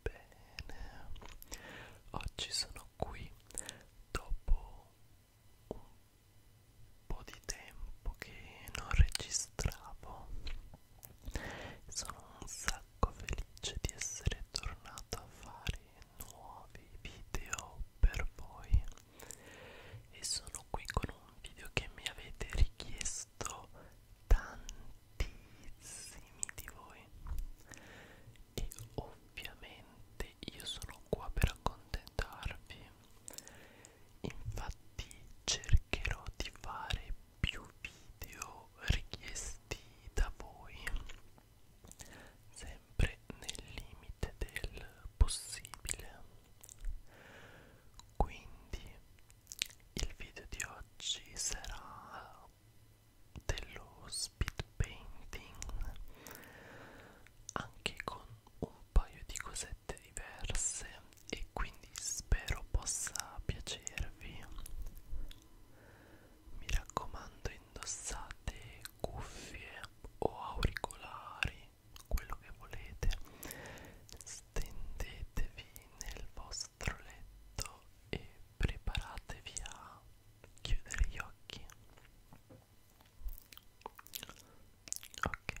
Bene, oggi sono qui dopo un po' di tempo che non registravo. Sono un sacco felice di essere tornato a fare nuovi video per voi e sono qui con un video che mi avete richiesto tanti tantissimi di voi e ovviamente io sono qua per accontentarvi infatti cercherò di fare più video richiesti da voi sempre nel limite del possibile quindi il video di oggi sarà dello speed painting anche con un paio di cosette diverse e quindi spero possa piacervi mi raccomando indossate cuffie o auricolari quello che volete stendetevi nel vostro letto e preparatevi a chiudere gli occhi ok ok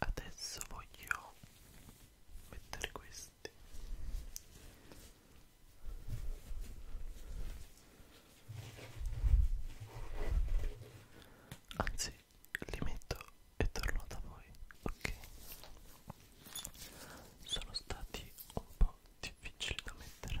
Adesso voglio mettere questi. Anzi, li metto e torno da voi, ok? sono stati un po' difficili da mettere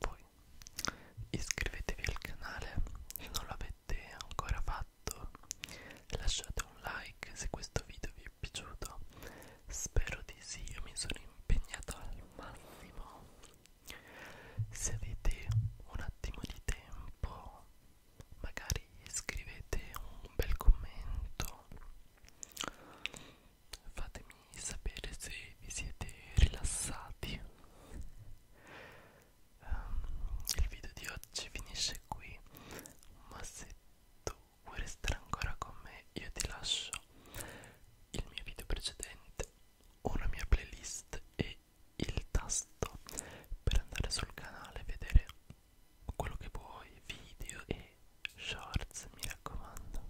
voi iscrivetevi al canale se non l'avete ancora fatto lasciate un like se questo video vi è piaciuto spero di sì io mi sono impegnato al massimo se avete un attimo di tempo magari scrivete un bel commento fatemi sapere se vi siete rilassati um, il video di oggi finisce qui ma se tu vuoi restare ancora con me io ti lascio il mio video precedente una mia playlist e il tasto per andare sul canale e vedere quello che vuoi video e shorts mi raccomando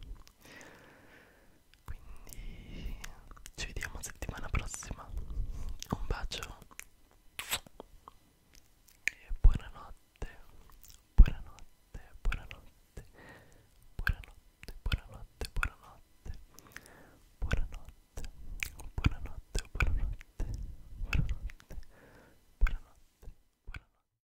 quindi ci vediamo settimana prossima un bacio e buonanotte buonanotte buonanotte buonanotte buonanotte buonanotte buonanotte buonanotte buonanotte buonanotte buonanotte buonanotte